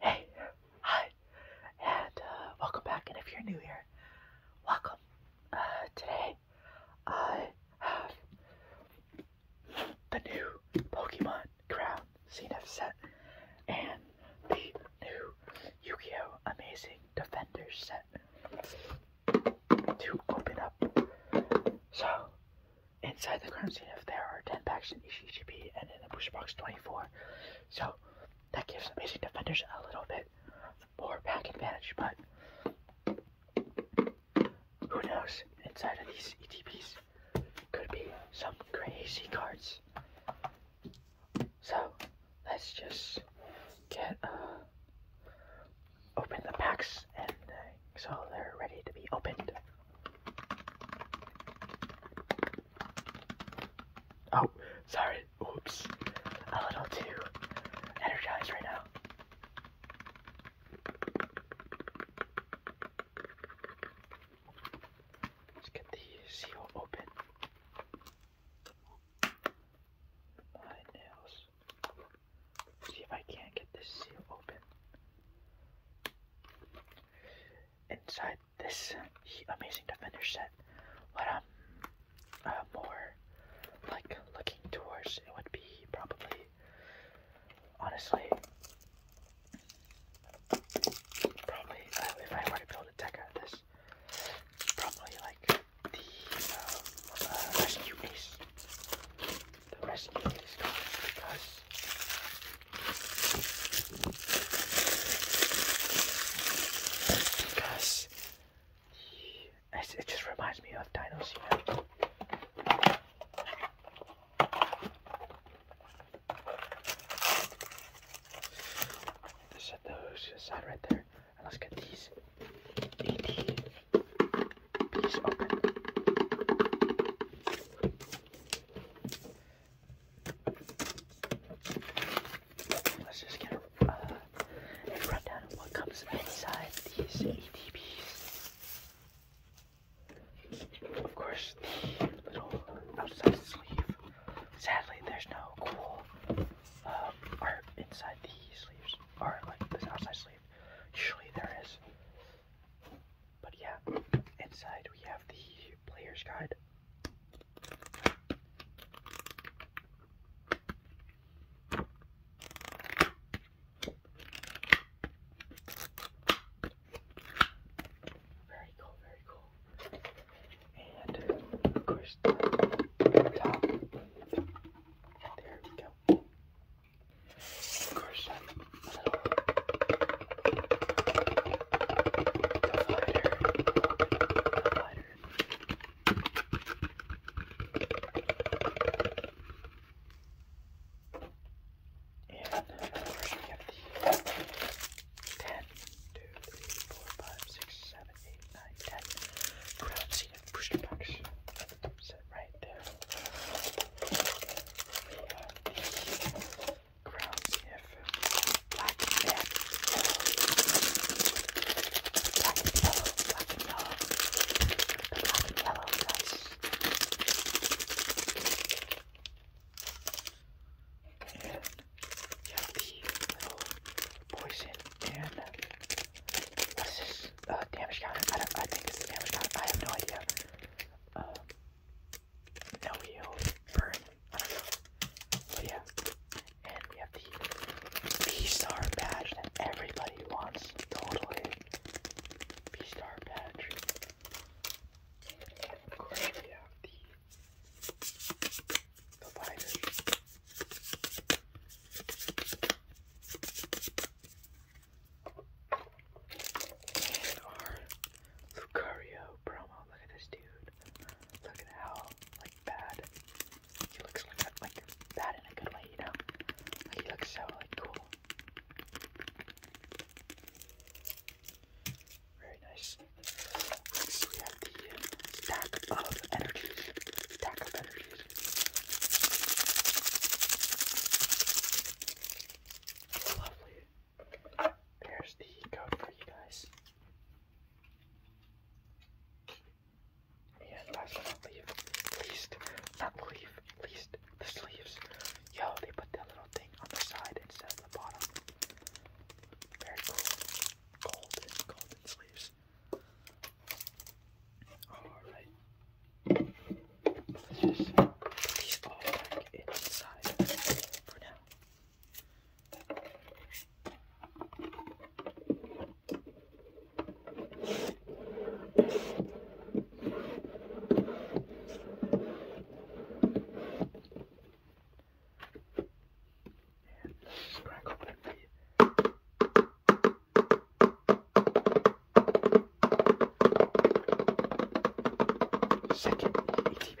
Hey, hi, and uh, welcome back. And if you're new here, welcome. Uh, today, I have the new Pokemon Crown Zenith set and the new Yu-Gi-Oh! Amazing Defenders set to open up. So, inside the scene, if there are 10 packs in each EGP and in the booster box 24. So, that gives amazing defenders a little bit more pack advantage, but who knows? Inside of these ETPs could be some crazy cards. So let's just get uh, open the packs and so oh, they're ready to be opened. Oh, sorry. Oops. A little too energized right now. Let's get the seal open my nails. See if I can't get this seal open. Inside this amazing defender set, what I'm uh, more like looking towards it would be probably, honestly, probably uh, if I were to build a deck out of this, probably like the uh, rescue ace. The rescue ace because because it just reminds me of dinosaurs. Set those aside right there let's get these 80 piece Let's just get uh, a, rundown of what comes inside these ETBs. Of course, the little outside sleeve. Sadly, there's no cool um, are inside the sleeves, or like this outside sleeve. Usually there is. But yeah, inside we have the player's guide. Very cool, very cool. And of course there we go. Of course, a little divider. divider. And of course, we 10, 2, 3, 4, 5, 6, 7, 8, 9, 10 push it back. Set right there. We have the Crown Sniff Black and Black and Yellow. Black and Yellow. The Black and Yellow, guys. And you have the little poison and this is a uh, damage counter. I, don't, I think it's a damage counter. I have no idea. Um, no heal, burn. I don't know. But yeah, and we have the B star badge that everybody wants. Totally B star badge. of course, we have the Lucario promo. Look at this dude. Look at how like bad he looks. Like, like bad in a good way, you know. he looks so like cool. Very nice stack of energy. Stack of energy. lovely. There's the code for you guys. And last but not least, not leave, least, the sleeves. Yo, they put that little thing on the side instead of the bottom. Very cool. Golden, golden sleeves. Alright. Let's just put these all back inside for now. And let's just crank up that beat. Second ETB.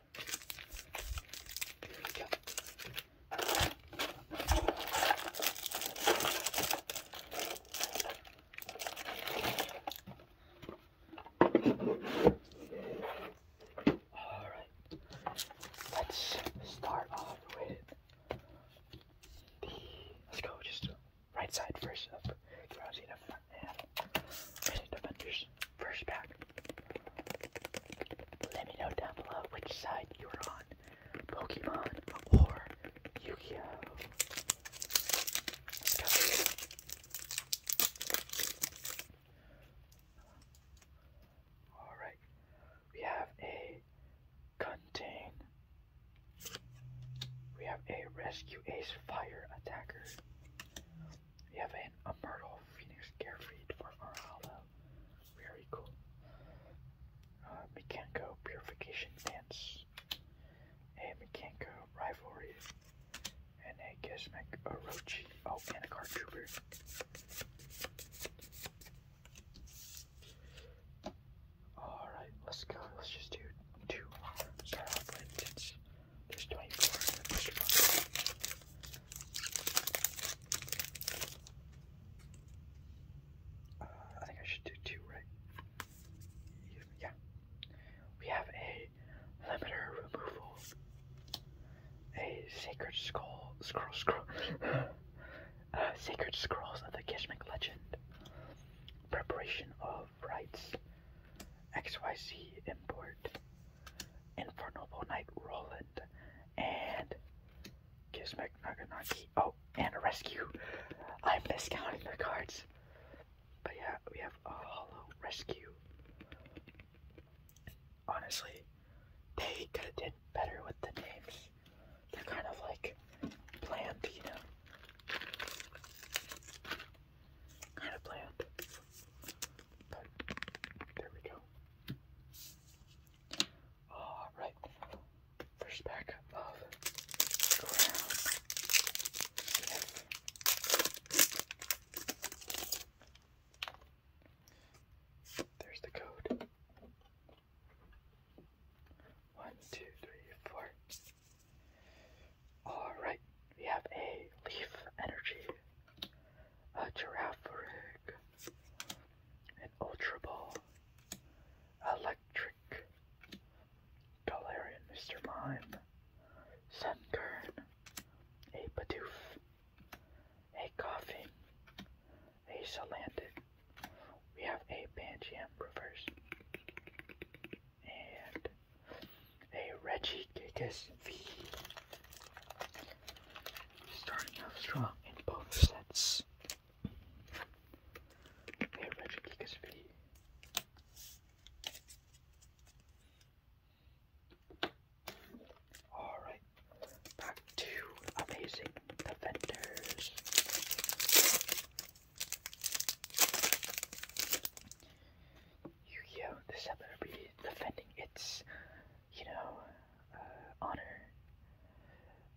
All right. Let's start off with the. Let's go just right side first up. Rousey to front and Rousey to Bender's first back. Let me know down below which side you were on, Pokemon or Yu-Gi-Oh. Alright, we have a contain. We have a rescue ace fire attacker. We have an, a Myrtle Phoenix feed for our hollow. Very cool. Uh, Mekanko Purification Dance. A Mekanko Rivalry. And a Gizmic Orochi. Oh, and a Card Trooper. Alright, let's go. Let's just do two. Start off with 24 I think I should do two, right? Yeah. We have a limiter removal, a sacred scroll, scroll, scroll, uh, sacred scrolls of the Kishmek legend, preparation of rites, XYZ import, infernal night roll and Kismek Naganaki. Oh, and a rescue. I'm miscounting the cards. But yeah, we have a hollow rescue. Honestly, they could have did better with the names. They're kind of like planned, you know. Kind of bland. But there we go. All right, first pack of ground. There's the code. One, two, three, four. All right, we have a leaf energy a giraffe rig, an ultra electric, Galarian Mr. Mime, Kerin, a Bidoof, a Coughing, a Salandit, we have a Banjiam Reverse, and a Reggie Gigas V. Starting off strong in both sets. Hey, Reggie Geekus Alright, back to Amazing Defenders. yu This set better be defending its you know, uh, honor,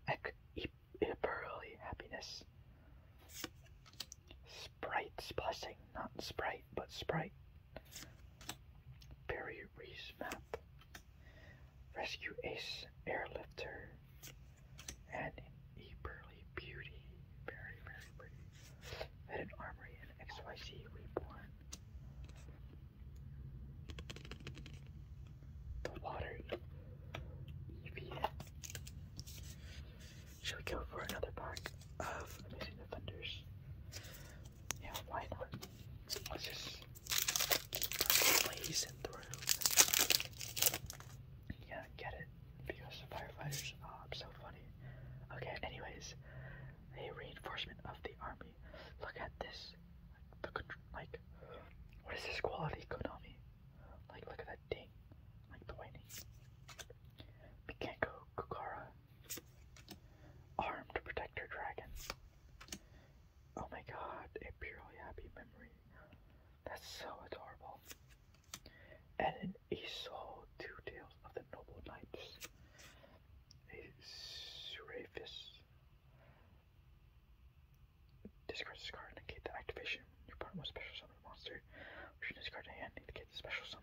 eberly happiness, sprite's blessing, not sprite, but sprite, Barry map, rescue ace airlifter, and eberly beauty, very, very pretty an armory in XYZ Reborn. The water EVN. Shall we go for another pack of Amazing Defenders? Yeah, why not? Let's just blaze through. Yeah, get it. Because the firefighters are oh, so funny. Okay, anyways, a reinforcement of the army Look at this. Like, what is this quality, Konami? Like, look at that ding. Like the whining. Pikenko Kukara. Arm to protect her dragons. Oh my god, a purely happy memory. That's so adorable. And an Iso Two Tales of the Noble Knights. Serapis. Discard this card and negate the activation. Your opponent will special summon monster. You should discard a hand and negate the special summon.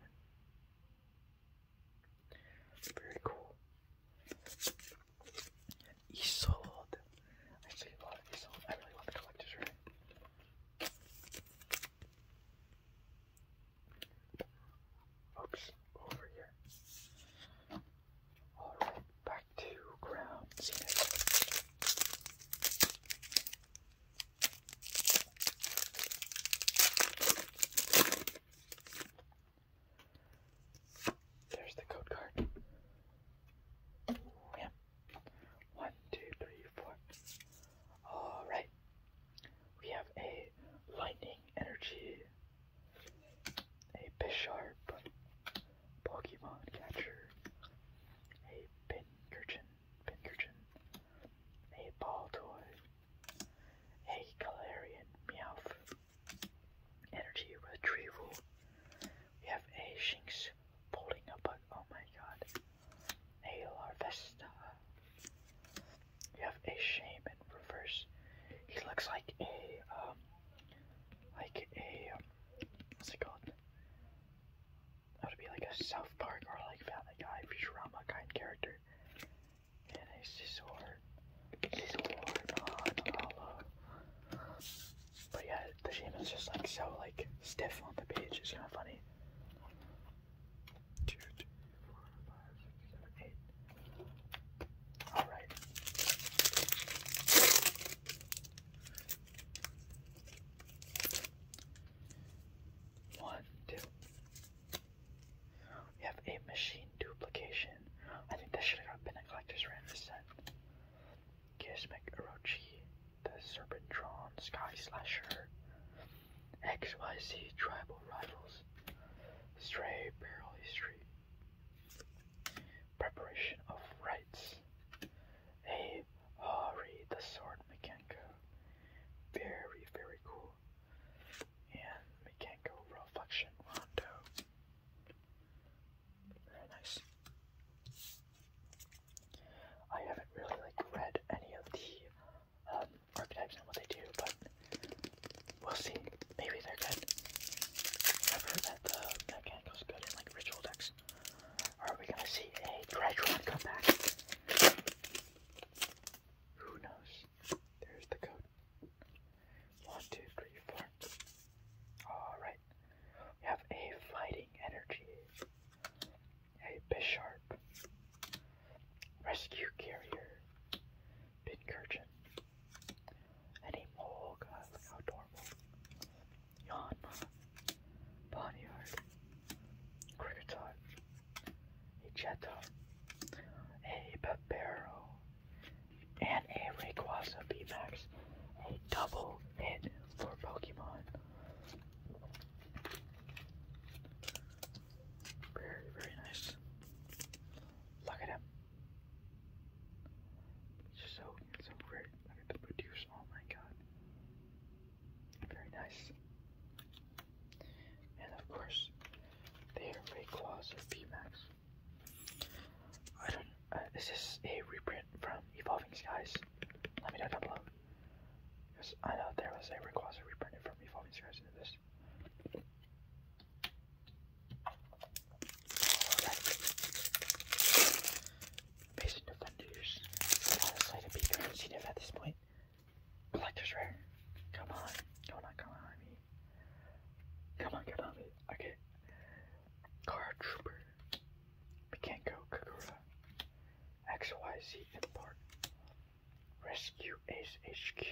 Very cool. And I see a lot I really want the collector's right. Oops, over here. All right, back to ground There's the code card. Yeah. One, two, three, four. All right, we have a Lightning Energy, a Bisharp Pokemon Catcher, a Pinkerton, Pinkerton, a Ball Toy, a Galarian Meowth, Energy Retrieval. We have a Shinx holding up, but oh my god, a Larvesta. You have a shaman reverse. He looks like a um, like a um, what's it called? That would be like a South Park or like Family Guy, Futurama kind character. And a scissor, scissor, non-hollow. But yeah, the is just like so like stiff on the page. It's kind of funny two, three, four, five, six, seven, eight. All right. One, two. We have a machine duplication. I think this should have been a collector's random set. Kismic Orochi, the Serpentron Sky Slasher, XYZ Tribal Rivals, Stray Barrel History, Preparation of rites, A Hari the Sword Mekanko, very, very cool, and Mekanko Reflection Rondo, very nice. I haven't really like read any of the um, archetypes and what they do, but we'll see. Maybe they're good. I've heard that the Mechanical's good in like ritual decks. Are we gonna see a Dreadron come Who knows? There's the code. One, two, three, four. Alright. We have a Fighting Energy, a Bisharp, Rescue carrier. Pitcurgeon. Any mole, God, look how adorable. Yanma. Ponyard. Cricketon. A Jetta. A And a Rayquaza VMAX. A double hit for Pokemon. Very, very nice. Look at him. So, so great. Look at the produce. Oh my god. Very nice. And of course, they are Ray Claws of VMAX. I don't. Uh, is a reprint from Evolving Skies? Let me know down below. Because I know there was a Rayquaza reprinted from Evolving Skies into this. Basic defenders. Honestly, to be currency at this point. Collector's rare. Come on. Come on, come on, me. Come on, get on, me. Okay. Car Trooper. We can't go Kakura. XYZ import. Rescue Ace HQ.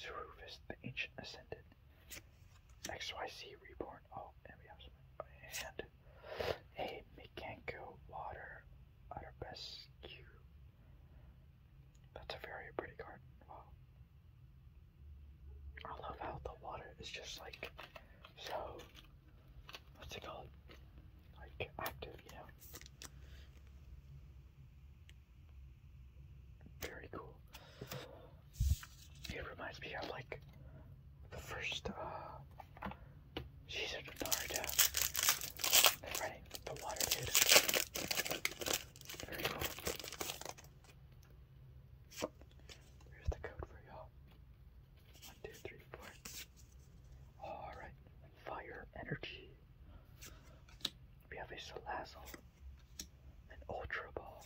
Zerufis, the Ancient Ascendant. XYC Reborn. Oh, and we have some. And a Mikanko Water Utterbescu. That's a very pretty card. Wow. I love how the water is just like so. What's it called? Like active, yeah. Very cool. It reminds me of like the first uh, season of Naruto. they the water dude. Very cool. Here's the code for y'all. One, two, three, four. Alright, fire energy. We have a Salazzle, an Ultra Ball,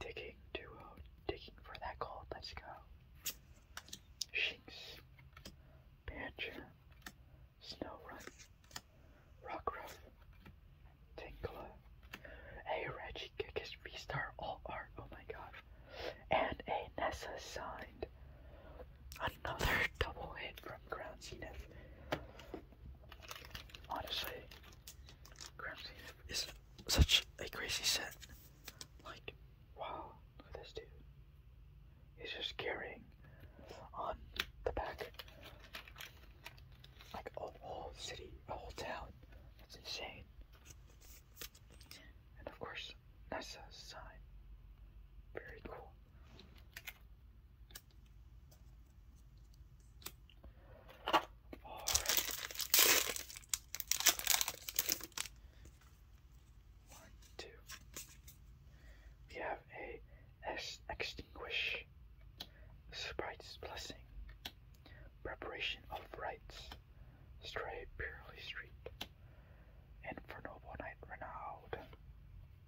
Digging Duo, Digging for that gold, let's go. Shinx, Bancher, Snow Run, Rockruff, Tinkla, a Reggie Kick, his V-Star, all art, oh my god, and a Nessa sign. Another double hit from Ground Zenith. Honestly, Crown Zenith is such a crazy set. Like, wow, this dude. He's just carrying on the back like a whole city, a whole town. That's insane. And of course, Nessa's sign. Very cool. One, two. We have a extinguish, Sprite's blessing, preparation of rites, stray purely street, and for noble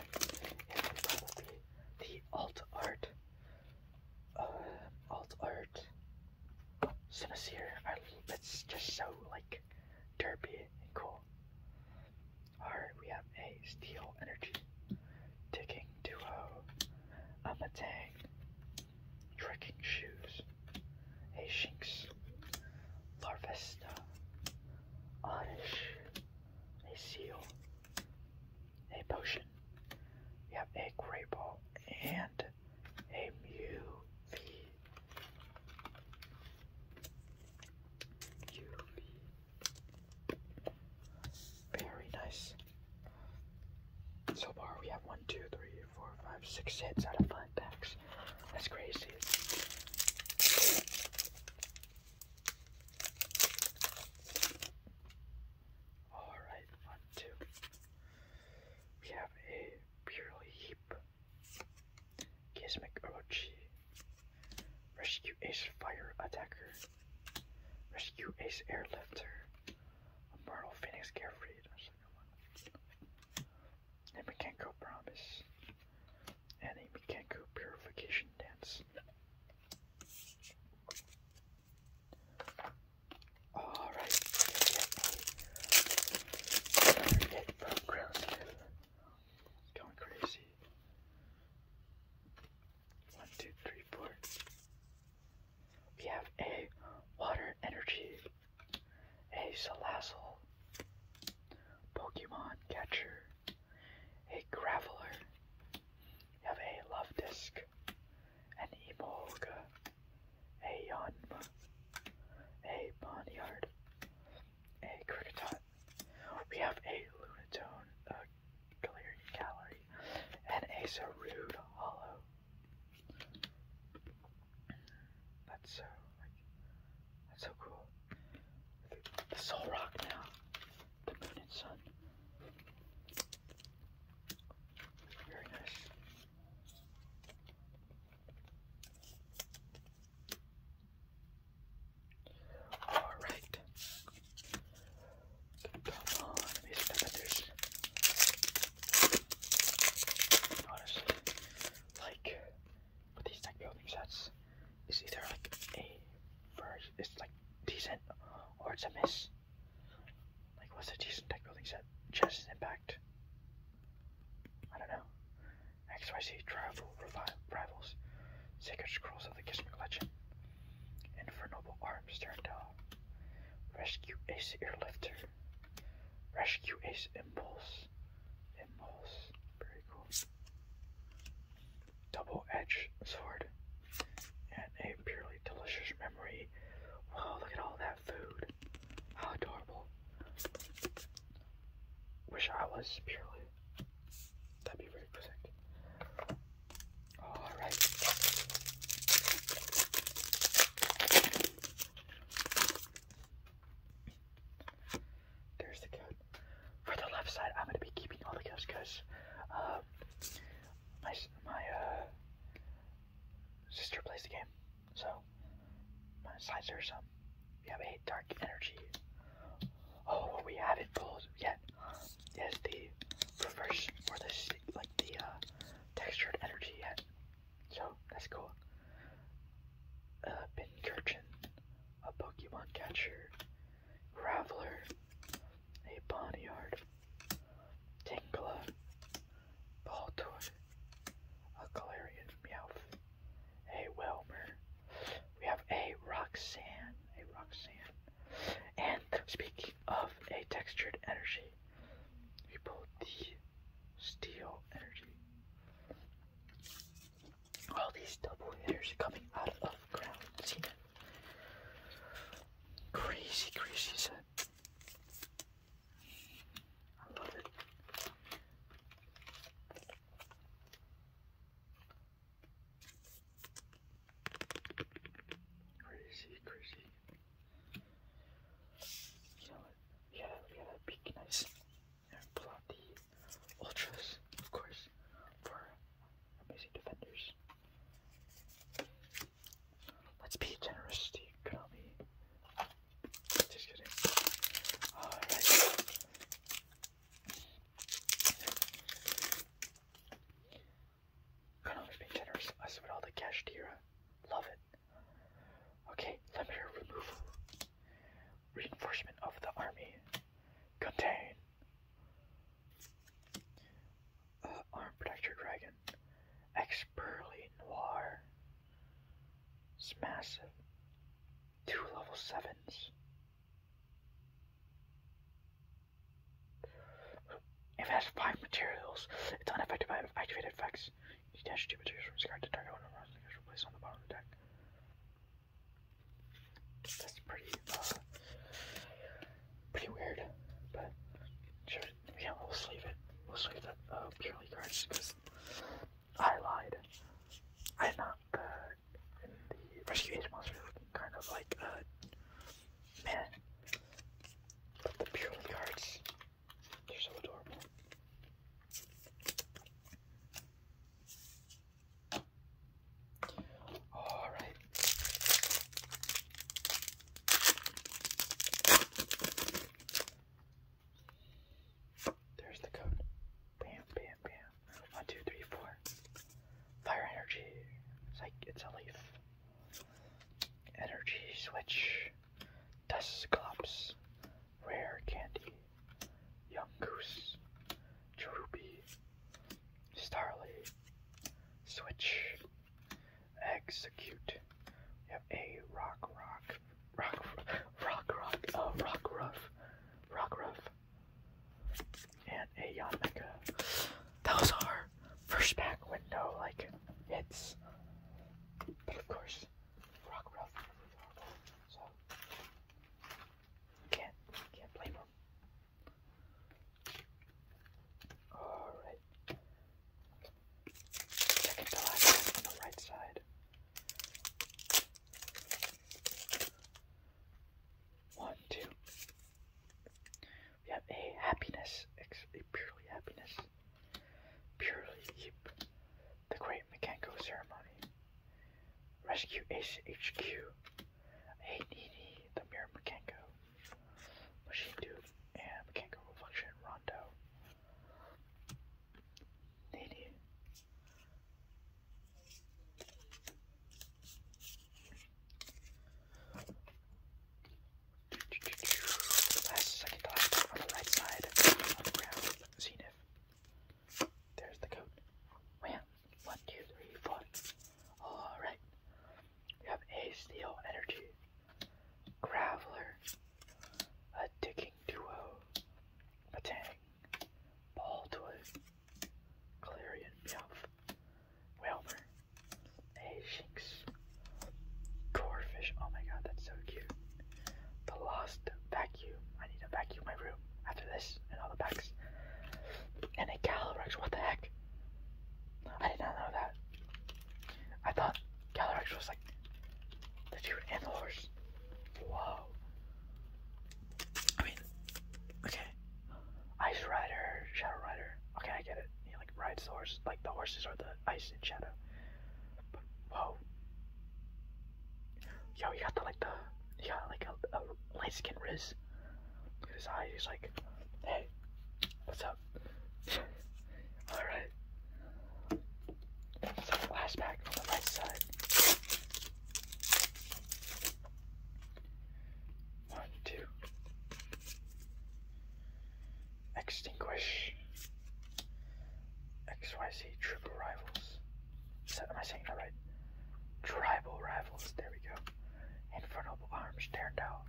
next probably the alt art, uh, alt art Sincere. I, it's just so like derpy and cool. Alright, we have a steel energy, digging duo, a matang, trekking shoes, a shinx, larvesta, Oddish, a seal, a potion. We have a gray Ball and a Mew Very nice. So far we have one, two, three, four, five, six hits out of five packs. That's crazy. Alright, one, two. We have a Purely Heap, Kismic Orochi, Rescue Ace Fire Attacker, Rescue Ace Airlifter, Immortal Phoenix Carefree. And Mikenko Promise. And a Mikenko Purification Dance. Alright, we get from Grillsmith. Going crazy. One, two, three, four. We have a water energy, a Salazzle, Pokemon Catcher, a graveler, you have a love disc, an emolga, a yonm, a boneyard, a cricketot. We have a lunatone, a clear gallery, and a sarude hollow. That's so uh, that's so cool. The, the Rock now. The moon and sun. Very nice. Alright. Come on, let me Honestly, like, but these tech building sets is either like a it's like decent or it's a miss. Like what's a decent tech building set? Chess impact. I don't know. XYZ travel rivals. Sacred Scrolls of the Kismet Legend. Infernoble Arms turned off. Rescue Ace Airlifter. Rescue Ace Impulse. Impulse. Very cool. Double edged sword. And a purely delicious memory. Wow, look at all that food. How adorable. Wish I was purely. That'd be very perfect. Alright. There's the code. For the left side, I'm going to be keeping all the codes because uh, my, my uh, sister plays the game. So, my slides are some. We have a dark energy. Oh, what we haven't yet is the reverse or the like the uh, textured energy yet. So that's cool. Ben Kirchen, a Pokemon Catcher, Graveler, a Boneyard, Tingla, Baltoy, a Galarian Meowth, a Welmer, we have a Roxanne, a Roxanne, and speaking of a textured energy, we pulled the Steel Energy all these double hitters coming out of the ground. Seen Crazy, crazy set. I love it. Crazy, crazy. You know Yeah, we gotta be nice and pull out the ultras, of course, for amazing defenders. Let's be generous to Konami. Just kidding. Alright. Konami's being generous. Us with all the cash Love it. Okay, let limiter removal. Reinforcement of the army. Contain. Arm Protector Dragon. Expertly Noir. It's massive. Two level 7s. it has 5 materials, it's unaffected by activated effects. You dash 2 materials from discard to target one of the replace on the bottom of the deck. That's pretty, uh, pretty weird, but sure, yeah, we'll save it. We'll save that, uh, purely cards, because I lied. I am not in the Rescue Age Monster looking kind of like, uh, man. But the purely cards, they're so adorable. All right. There's the code. Bam, bam, bam. One, two, three, four. Fire energy. It's like it's a leaf. Energy switch. Dust clumps. Rare Candy, Young Goose, Cherubi, Starly, Switch, Execute. We a Rock Rock, Rock Rock Rock, uh, Rock Ruff, Rock Ruff, and a Yon Mecha. Those are first pack window like it's, But of course, Rock Ruff so can't, can't blame him. Alright. Second to last on the right side. One, two. We have a happiness, a purely happiness, purely the Great Makanko Ceremony, Rescue Ace HQ, Hey the Mirror Makanko, Machine Dude, and Makanko Reflection Rondo. Nini. Last second last on the right side on the ground, Zenith. There's the coat. One, two, three, four. Alright. We have a steel energy. Graveler. A digging duo. Batang. Baldwin. Clarion Meowth. Whelmer. A Shinx. Corefish. Oh my god, that's so cute. The lost vacuum. I need to vacuum my room after this and all the packs. And a Calyrex, what the heck? I did not know that. I thought Calyrex was like the two and the horse. Whoa. I mean, okay. Ice Rider, Shadow Rider. Okay, I get it. He like rides the horse, like the horses are the ice and shadow. whoa. Yo, he got the like the he got like a, light skin Riz. at his eyes. He's like, hey, what's up? All right. It's a flashback on the right side. One, two. Extinguish. XYZ triple rivals. So, am I saying that right? Tribal rivals. There we go. Infernal arms turned out.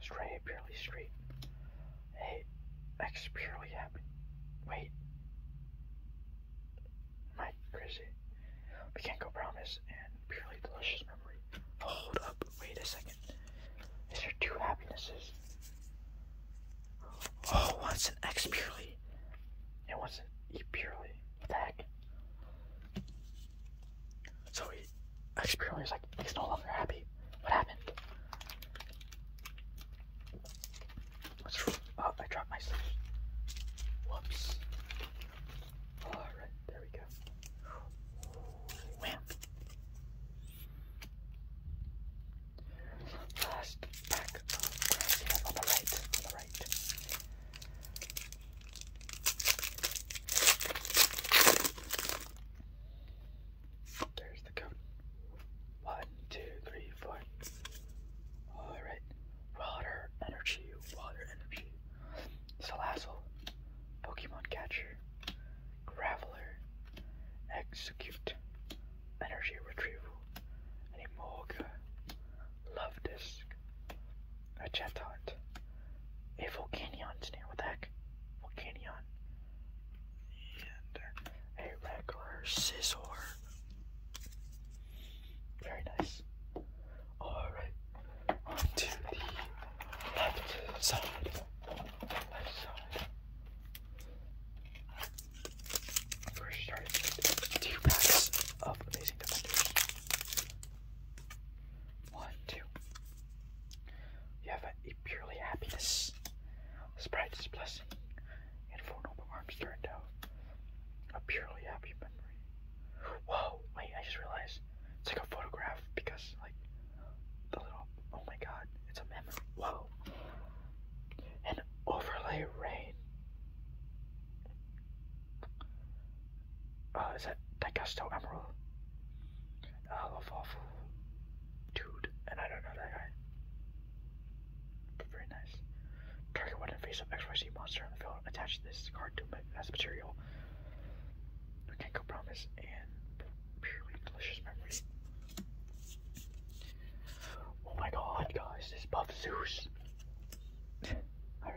Stray purely straight. Hey, X purely happy. Wait. Am I crazy? We can't go promise and purely delicious memory. Hold up. Wait a second. Is there two happinesses? Oh, one's an X purely. It one's an E purely. What the heck? So he, X purely is like, he's no longer happy. What happened? What's wrong? Oh, I dropped my sleeve. Whoops. Alright, there we go. Last pack On the right. There's the coat. One, two, three, four. Alright. Water energy, water energy. Salazzle, Pokemon Catcher, Graveler, Execute, energy retrieval, an Emorga, Love Disc, a jet hunt, a Volcanion's near what the heck? Volcanion. And a regular scissor. Very nice. Alright. On the left side. Left side first two packs of Amazing Defenders. One, two. You have a, purely happiness. Sprite's blessing. And for an arms turned out. A purely happy memory. Whoa, wait, I just realized. It's like a photograph because like the little oh my god, it's a memory. Whoa and overlay rain. Oh, is that that Gusto Emerald? Uh, I love awful dude, and I don't know that guy. very nice. Target one and face up XYZ monster in the field. Attach this card to it as material. We go promise and delicious memories. Oh my god, guys, this Buff Zeus. Alright.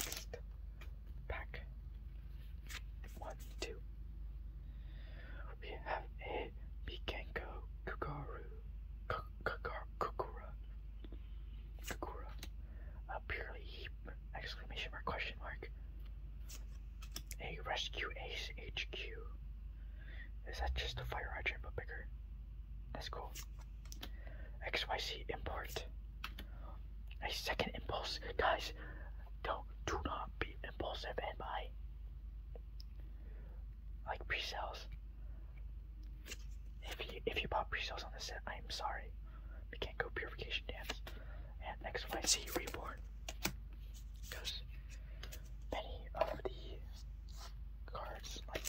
Next pack. One, two. We have a Pikenko Kukaru. Kukura. Kukura. A purely heap. Exclamation mark, question mark. A rescue ace HQ. Is that just a fire hydrant but bigger? That's cool. XYZ import. A second impulse. Guys, don't do not be impulsive and buy. Like pre-sales. If you if you bought pre-sales on the set, I am sorry. We can't go purification dance. And XYZ reborn because many of the cards, like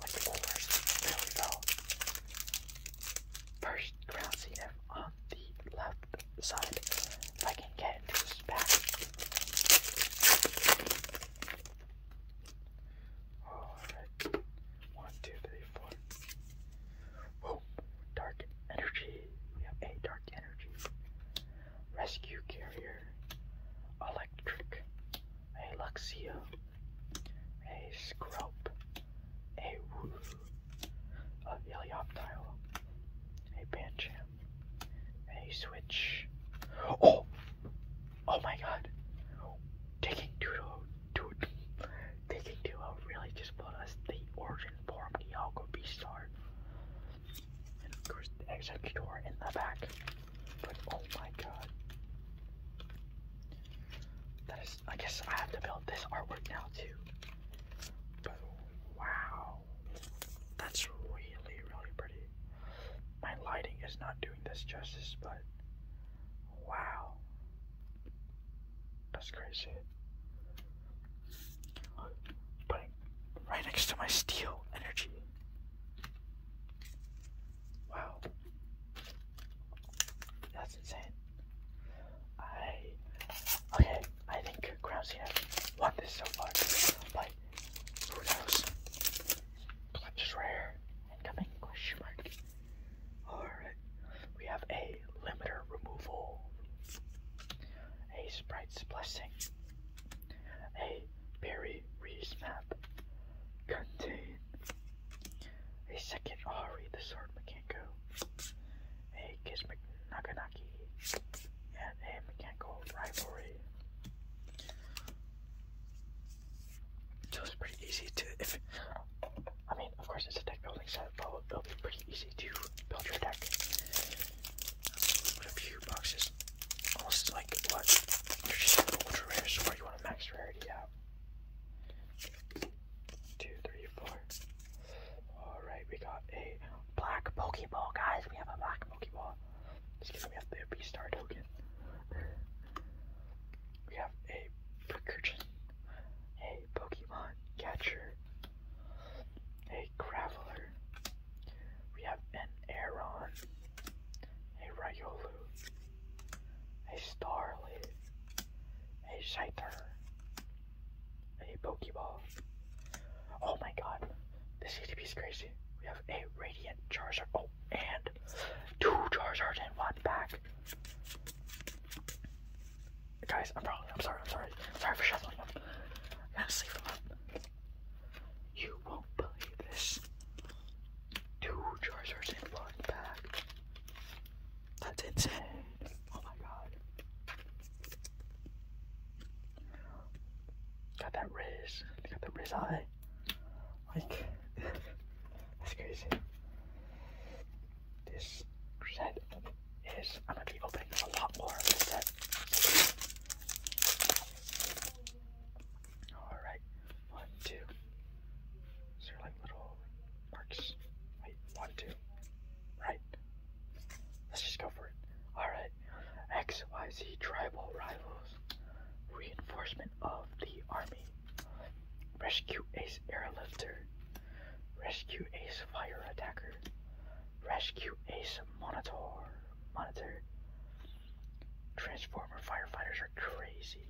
like the Wolvers, really well. First ground CF on the left side. If I can get into this pack. Alright. One, two, three, four. Whoa, dark energy. We have a dark energy. Rescue carrier. Electric. A Luxio. A Scrope. A Woof. A Helioptile. A Pancham. A Switch. Oh! Oh my god. Taking two to, taking two really just bought us the origin inform Dialga star. And of course the executor in the back. But oh my god. That is I guess I have to build this artwork now too. wow. That's really really pretty. My lighting is not doing this justice, but wow. That's crazy. Putting right next to my steel energy. Wow. That's insane. I okay, I think Crown Cena won this so far. Like who knows? Clutch is rare. Incoming question mark. Alright. We have a limiter removal a Sprite's Blessing, a berry Reese map, a second Ari the Sword Mekanko, a Kismic Naganaki, and a Mekanko Rivalry. So it's pretty easy to, if, I mean, of course it's a deck building set, but it'll be pretty easy easy build your deck. a few boxes. Almost like what? You're just an rare sword, you want to max rarity out. Two, three, four. Alright, we got a black Pokeball, guys. We have a black Pokeball. Just kidding, we have the B star token. We have a Percursion, a Pokemon catcher, a Graveler. We have an Aeron, a Ryolu, a Starlit, a Scyther, a Pokeball. Oh my god, this ETP is crazy. We have a Radiant Charizard. Oh, and two Charizards in one back. Guys, I'm probably. I'm sorry. I'm sorry. I'm sorry for shuffling I gotta sleeve You won't believe this. Two Charizards in one pack. That's insane. Oh my god. Got that Riz. Got the Riz eye. Like, that's crazy this set is. I'm going to be opening a lot more of this set. Alright, one, two. Is there like little marks? Wait, one, two. Right. Let's just go for it. Alright. XYZ tribal rivals. Reinforcement of the army. Rescue ace airlifter. Rescue Ace Fire Attacker. Rescue Ace Monitor. Monitor. Transformer firefighters are crazy.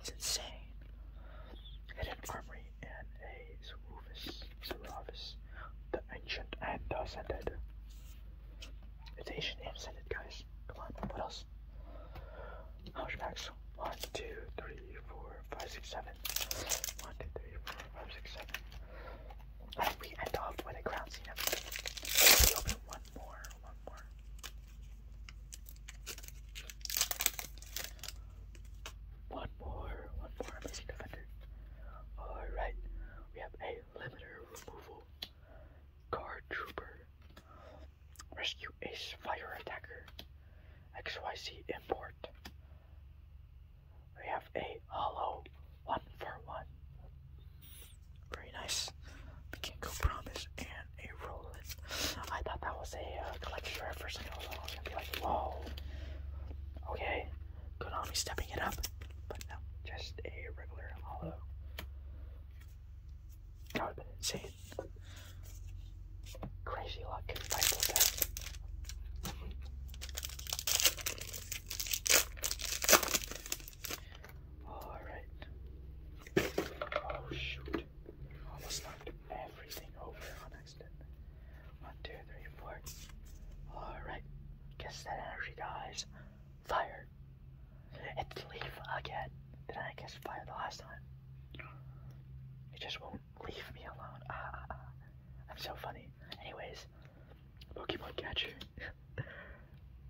It's insane. Hidden Armory and a Zerufus. Zerufus. The Ancient and the Ascended. It's Ancient and Ascended, guys. Come on, what else? How much packs? 1, 2, 3, 4, 5, 6, 7. 1, 2, 3, 4, we end off with a crown scene episode. open one more, one more. One more, one more amazing defender. Alright, we have a limiter removal, guard trooper, rescue ace fire attacker, XYZ import, we have a hollow one for one. Very nice. Ginkgo Promise and a Roland. I thought that was a uh, collector's rare first thing I was gonna be like, whoa. Okay, Konami stepping it up. But no, just a regular hollow. That would have been insane crazy luck in Bible test. Alright. Oh shoot. Almost knocked everything over on accident. One, two, three, four. Alright. Guess that energy dies. Fire. It's leaf again. Did I guess fire the last time? It just won't leave me alone. Ah, ah, ah. I'm so funny. Anyways, Pokemon Catcher,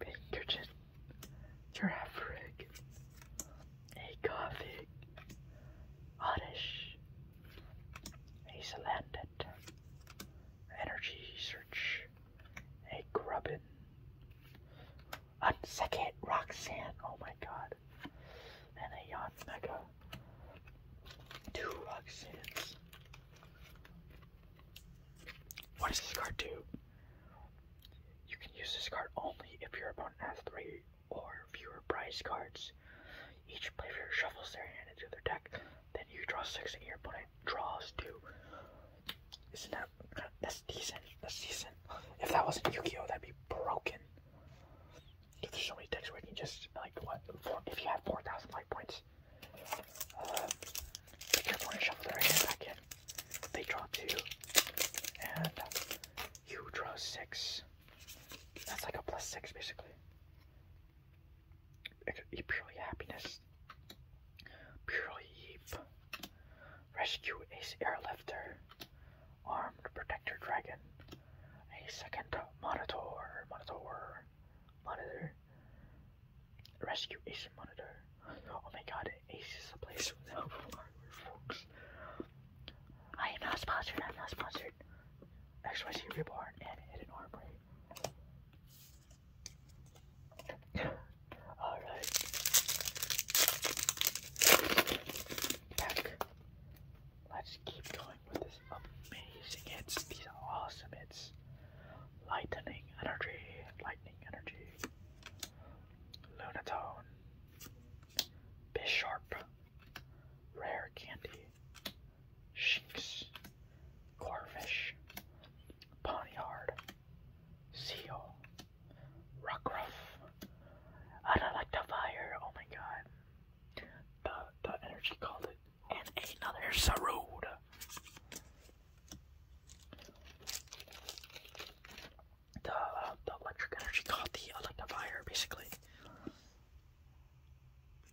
Pinkerton, Giraffe Rig, a Coffee, Oddish, a Salandit, Energy Search, a Grubbin, Unsecond Roxanne, oh my god and a Yachts Mega. Two Ruxins. What does this card do? You can use this card only if your opponent has three or fewer prize cards. Each player shuffles their hand into their deck, then you draw six and your opponent draws two. Isn't that that's decent? That's decent. If that wasn't that'd be broken there's so many decks where you can just, like, what, if you have 4,000 life points, uh, pick your opponent, shuffle their hand back in. They draw two, and you draw six. That's like a plus six, basically. purely happiness. Purely heap. Rescue ace airlifter. Armed protector dragon a second monitor, monitor, monitor. Rescue Ace monitor. Oh my god, Ace is a place without hardware, folks. I am not sponsored, I'm not sponsored. XYZ Reborn and Hidden Armory. Alright. Back. Let's keep going with this amazing hits. These are awesome hits. Lightning energy, lightning energy. Lunatone. Bisharp. Rare candy. Shinx. Corfish. Ponyard. Seal. Rockruff. I don't like the fire. Oh my god. The, the energy called it. And another Sarud. The, uh, the electric energy called the Electrifier, basically.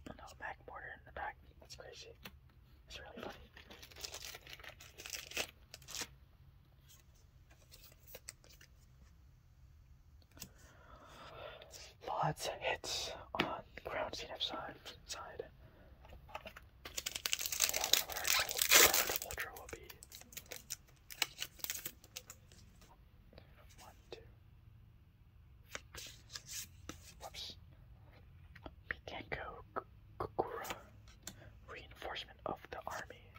No, Mac in the back. That's crazy. It's really funny. Lots hits on ground CNF side. side. ultra will be. One, two. Whoops. Mikenko Kukura. Reinforcement of the army.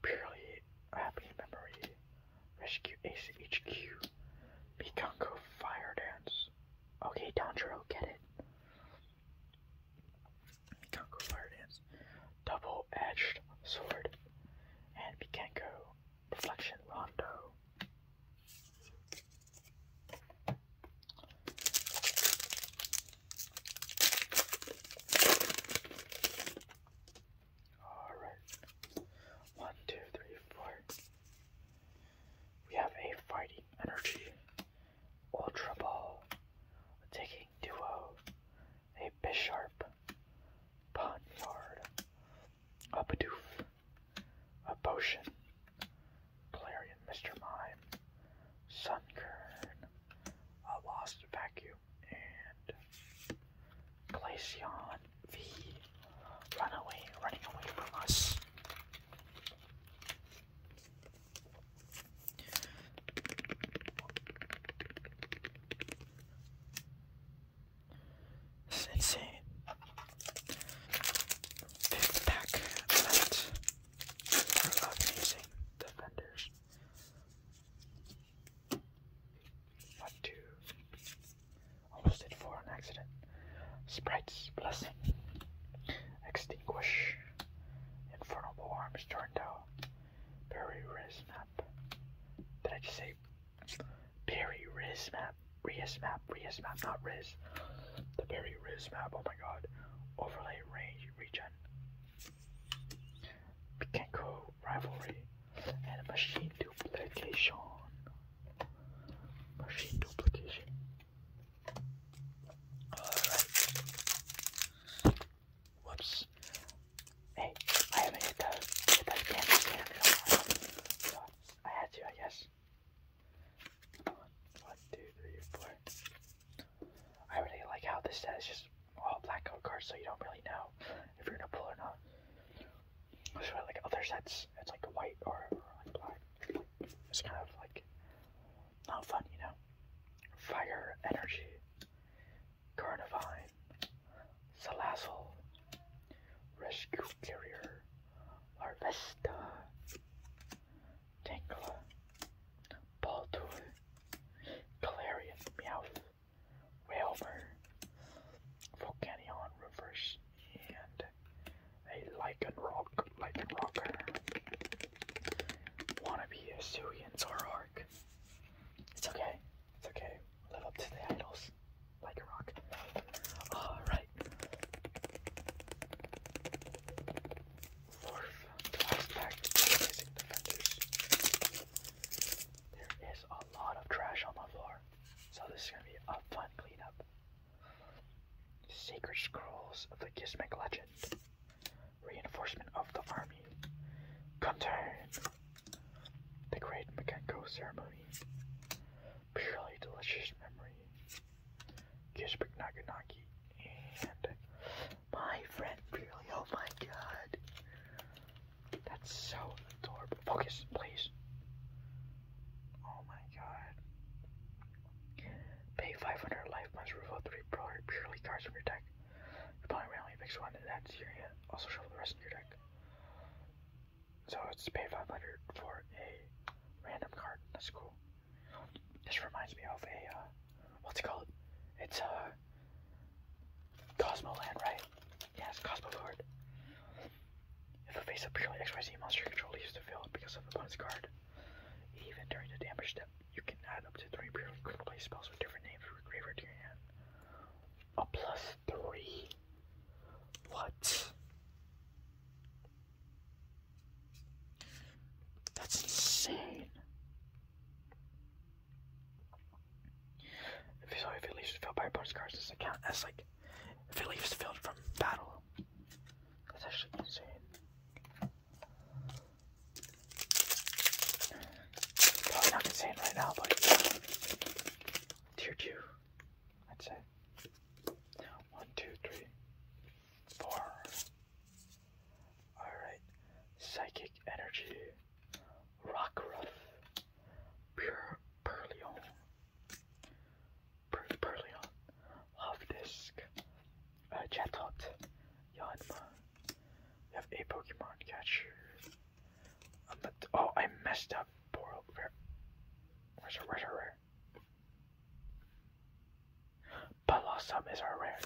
Purely happy memory. Rescue Ace HQ. Bikanko Fire Dance. Okay, Dondro, get it. Bikanko Fire Dance. Double Edged Sword. And Bikanko Reflection Rondo. Alright. One, two, three, four. We have a fighting energy. Ultra Ball. Taking Duo. A Bisharp. Ponyard. A Bidoof. A Potion. Clarion Mr. Mime. Sunkern. A Lost Vacuum. And Glaceon V. Run away, running away from us. insane. Fifth pack left. amazing defenders. One, two, Almost did four on accident. Sprite's blessing. Extinguish. Infernal arms turned out. Berry res Did I just say berry res map? Res not res. The berry res oh my god. Overlay range regen. Kanko rivalry and machine duplication. Machine duplication. Alright. Whoops. Hey, I haven't hit that, hit I had to, I guess. One, one, two, three, four. I really like how this says just all blackout cards, so you don't really know if you're gonna pull or not. So like other sets, it's like white or, like black. It's kind of like not fun, you know. Fire energy, Carnivine, Salazzle, Rescue Carrier, Larvesta, Tangela, Baldur, Galarian, Meowth, Whalmer, Volcanion Reverse, and a Lichen Rock, Wanna be a Suian Zorark. It's okay, it's okay. Live up to the idols. Like Alright. Fourth to basic defenders. There is a lot of trash on the floor. So this is gonna be a fun cleanup. Sacred Scrolls of the Gizmic Legend. Reinforcement of the Army. Come The Great Makenko Ceremony. Purely Delicious Memory. Gizmic Naganaki. And my friend Purely, oh my god. That's so adorable. Focus, please. Oh my god. Pay 500 life, points. reveal three purely cards from your deck. Your opponent randomly picks one, and that's your hand. Also shuffle the rest of your deck. So it's pay 500 for a random card. That's cool. This reminds me of a, uh, what's it called? It's, uh, Cosmoland, right? Yes, Cosmo card. If a face of purely XYZ monster control leaves the because of the opponent's card, even during the damage step, you can add up to three purely critical spells with different names graveyard to your hand. A plus three? What? That's insane. If, so if it leaves filled by reports cards, this account as like if it leaves filled from battle. That's actually insane. Probably not insane right now, but uh, tier two, I'd say. One, two, three, four. Alright. Psychic energy. Rockruff, Pure Perlion, per Perlion, Hovdisk, uh, Chatot, Yanma. We have a Pokemon catcher. i um, oh, I messed up. Poor where, Where's our, where's our rare? is our rare.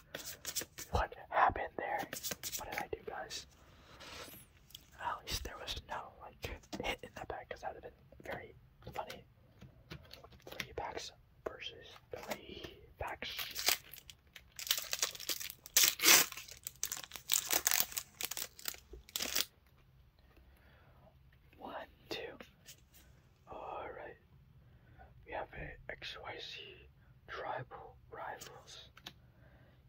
What happened there? What did I do, guys? At least there was no like hit in that pack because that would have been very funny. Three packs versus three packs. One, two. Alright. We have a Tribal Rivals.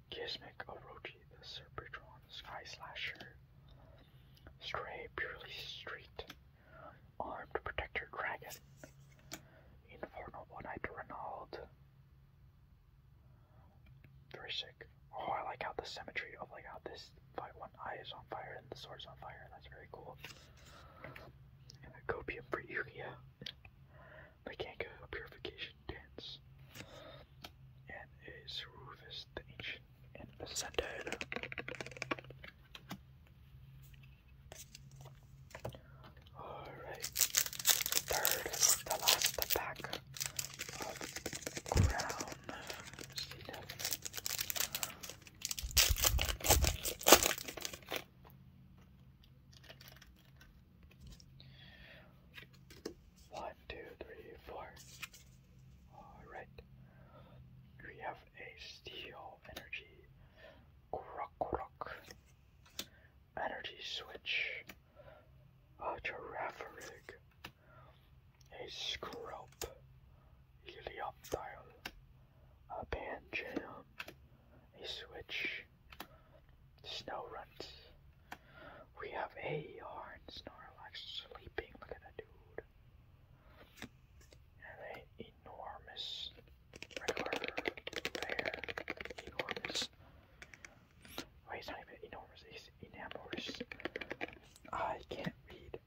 Kismic Orochi, the Serpentron Sky Slasher. Stray Purely Street, Armed Protector Dragon. Infernal One-Eyed Renald. Very Oh, I like how the symmetry of like how this one eye is on fire and the sword's on fire. That's very cool. And a Gopium for Yukia. They can the Kanka Purification Dance, and is Rufus the Ancient and Ascended. Alright, third, the last the pack of Crown. One, two, three, four. Alright. We have a steel energy croc croc. Energy switch. A giraffe rig. A scrope. Helioptile. A pan A switch snow runt. We have a yarn Snorlax sleeping. Look at that dude. And an enormous regular enormous. Wait, not even enormous, he's enamorous. I can't read.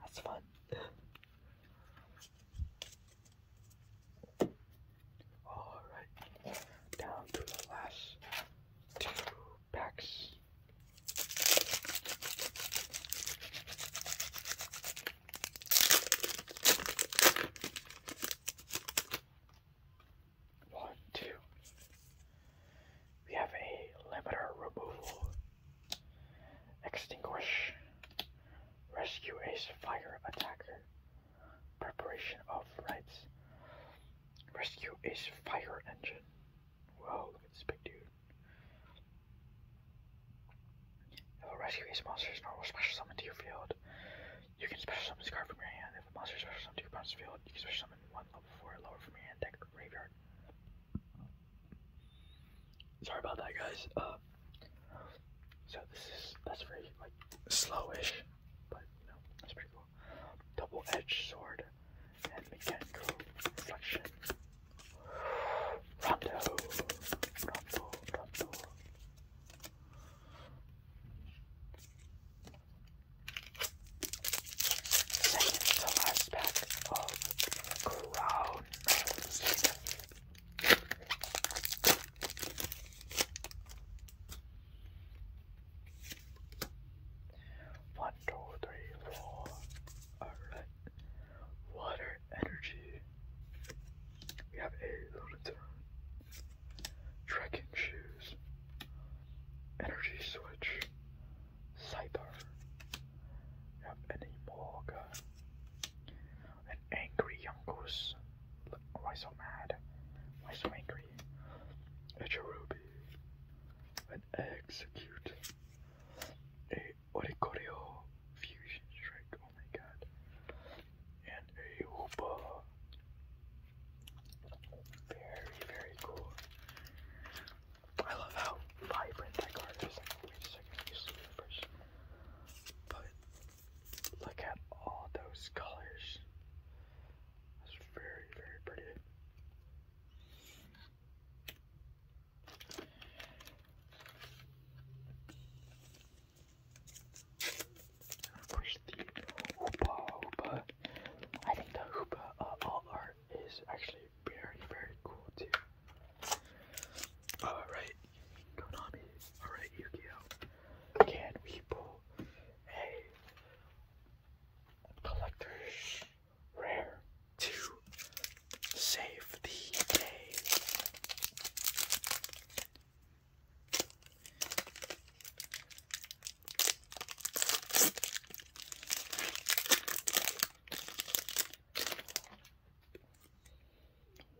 That's fun. Alright. Down to the last two packs. One, two. We have a limiter removal, extinguish, rescue ace fire attacker. Preparation of rights. Rescue is fire engine. Whoa, look at this big dude. If a rescue ace monster normal, special summon to your field. You can special summon this card from your hand. If a monster special summoned to your opponent's field, you can special summon one level 4 lower from your hand deck or graveyard. Sorry about that, guys. Uh, so this is, that's very, like, slowish, but, you that's pretty cool double-edged sword, and mechanical reflection. Rondo, Rondo, Rondo. Second to last pack of Crown one, two, three, four. Alright. Water energy. We have a little Trekking shoes. Energy switch. Cyber. We have any morgue. An angry young goose. Look, why so mad? Why so angry? a cherubi, an execute, a oricorio fusion strike, oh my god, and a hoopa. Very, very cool. I love how vibrant that card is. Wait a second, let me see it first. But look at all those colors. That's very, very pretty. of course, the Hoopa Hoopa. I think the Hoopa uh, all art is actually very, very cool too. Alright, Konami. Alright, Yu Gi Oh! Can collectors rare to save the day.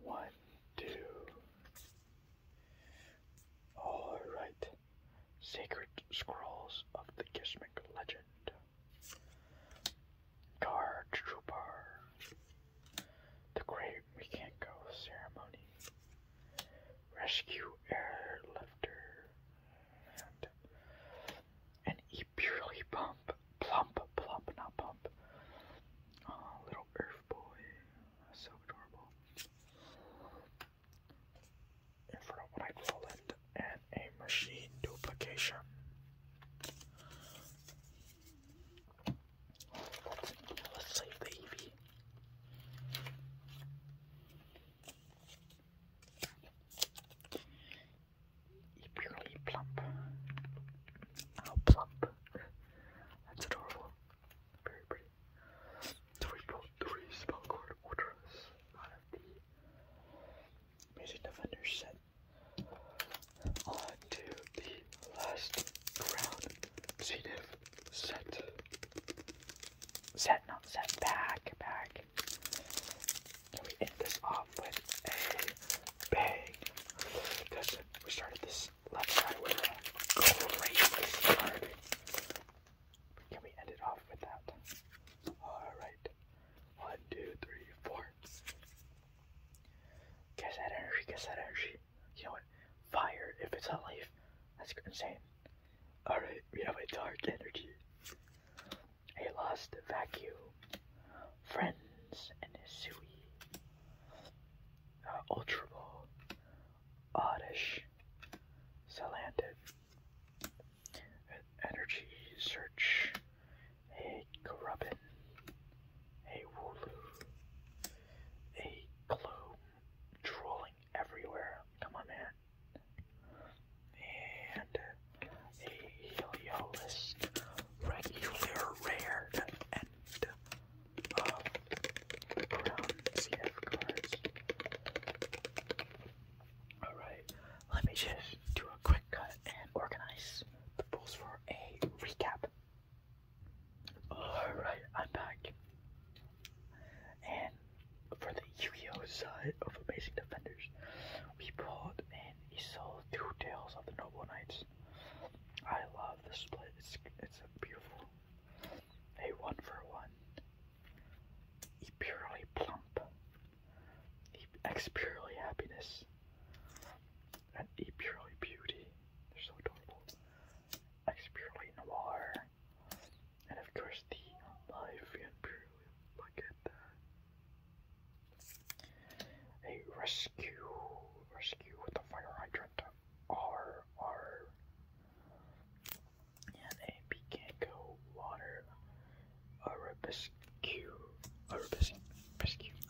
One, two. All right. Sacred Scrolls of the Kismic Legend. Guard Trooper. The Great Mekanko Ceremony. Rescue Airlifter. And an E purely pump. Plump, plump, not pump. Oh, little Earth Boy. so adorable infrared Roland and a machine duplication. Let's, save the EV. Purely plump. How plump. That's adorable. Very pretty. So we brought three Spellcord Ultras out of the last ground set. Set, not set, back, back. And we end this off with a bang. Because we started this left side with a crazy start. Can we end it off with that? Alright. One, two, three, four. Guess that energy, guess that energy. You know what? Fire, if it's not life, that's insane. Alright, we have a dark energy. A lost vacuum. Friends and Hisui. Uh, Ultra Ball oddish, slanted, energy search, a grubbin, a wooloo, a gloom trolling everywhere. Come on, man. And a Heliolist, regular, rare, and um, Alright, let me just do a quick cut uh, and organize the pulls for a recap. Alright, I'm back. And for the Yu-Gi-Oh side of Amazing Defenders, we pulled and he sold two Tales of the Noble Knights. I love the split. It's, it's beautiful a one for one he purely plump. He acts purely happiness. And he purely beauty. They're so adorable. Ex purely noir. And of course the life and purely look at that. A rescue. Rescue with the fire hydrant. R R and a Picanco water arabescu arabescu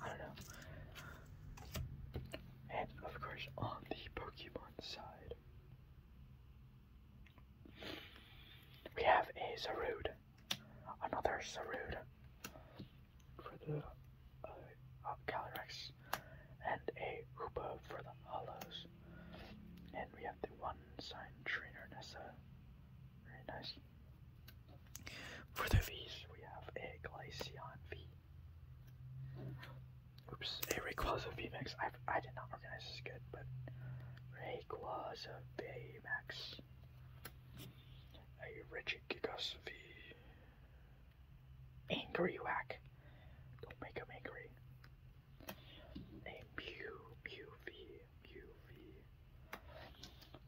I don't know. And of course on the Pokemon side we have a Zarude. Another Zarude for the uh, Calyrex and a hoopa for the Hollows. And we have the one sign trainer Nessa. Very nice. For the V's, we have a Glaceon V. Oops, a Rayquaza VMAX. I I did not organize this good, but Rayquaza Max, A Regigigas V. Angry Whack. Don't make him angry. A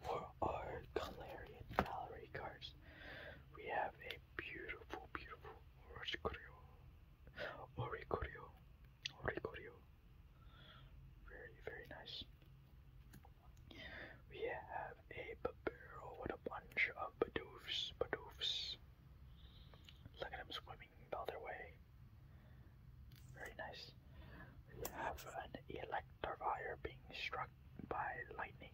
For our Galarian gallery cards, we have a beautiful, beautiful Oricorio. Oricorio. Oricorio. Very, very nice. We have a Barbaro with a bunch of Badoofs, Badoofs. Look at them swimming the other way. Very nice. We have an Electivire being struck by lightning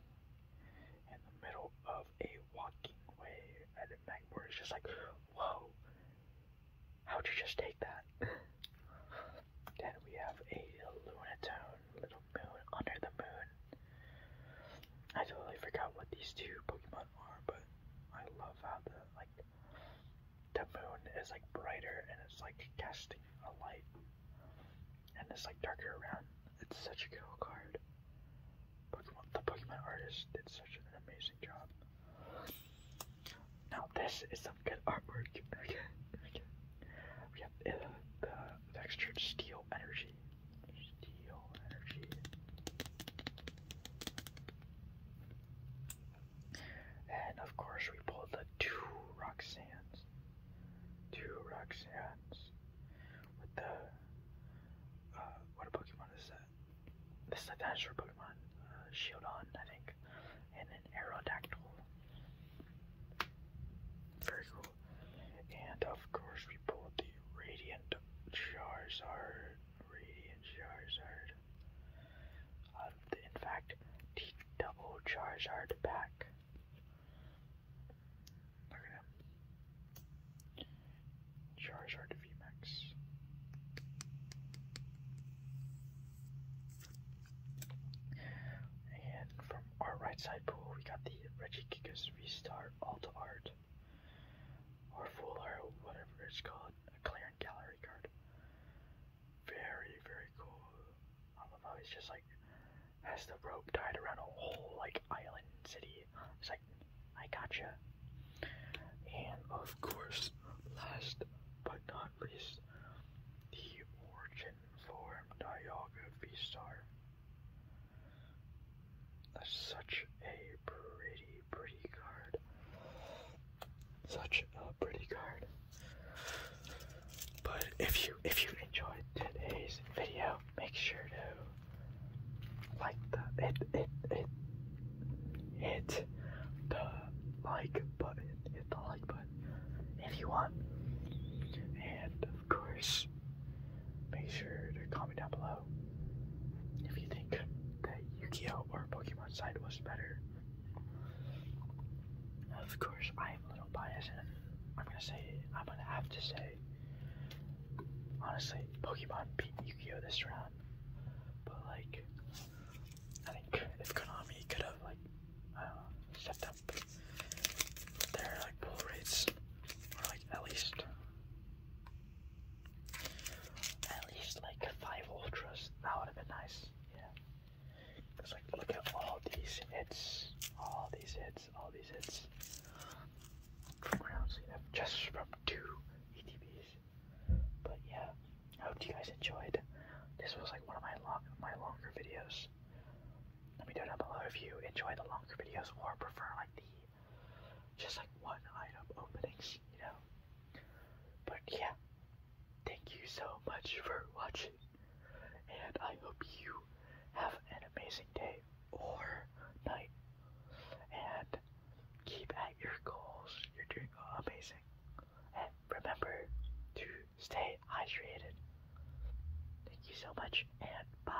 in the middle of a walking way. And Magmore is just like, whoa, how'd you just take that? then we have a Lunatone, Little Moon, Under the Moon. I totally forgot what these two Pokemon but I love how the like the moon is like brighter and it's like casting a light, and it's like darker around. It's such a cool card. Pokemon, the Pokemon artist did such an amazing job. Now this is some good artwork. Okay, We have uh, the textured steel energy. Steel energy. And of course, we pulled the two Roxans, Two Roxans, With the. Uh, what a Pokemon is that? This is a dinosaur Pokemon. Uh, Shield on, I think. And an Aerodactyl. Very cool. And of course, we pulled the Radiant Charizard radiant Charizard. Uh, um, in fact, the double Charizard pack. Look at him. Charizard VMAX. And from our right side pool, we got the Reggie Gigas V-Star Alt Art or full or whatever it's called, a clear and gallery card. Very, very cool. I don't it's just like has the rope tied around a whole like island city. It's like I gotcha. And of course, last but not least, the origin form Dialga star. That's such a pretty, pretty card. Such a pretty card. But if you if you enjoyed today's video, make sure to like the it it it hit the like button. Hit the like button if you want. And of course make sure to comment down below if you think that Yu-Gi-Oh or Pokemon side was better. Of course, I am a little biased, and I'm gonna say I'm gonna have to say honestly, Pokemon beat Yu-Gi-Oh this round, but like I think if Konami could have like uh, stepped up their like pull rates or like at least at least like five ultras. That would have been nice. Yeah. Cause like look at all these hits. All these hits. All these hits. From rounds you know, just from two ETBs. But yeah, I hope you guys enjoyed. This was like one of my long my longer videos. Let me know down below if you enjoy the longer videos or prefer like the just like one item openings, you know. But yeah, thank you so much for watching, and I hope you have an amazing day or night, and keep at your goals. You're doing amazing, and remember to stay hydrated. Thank you so much, and bye.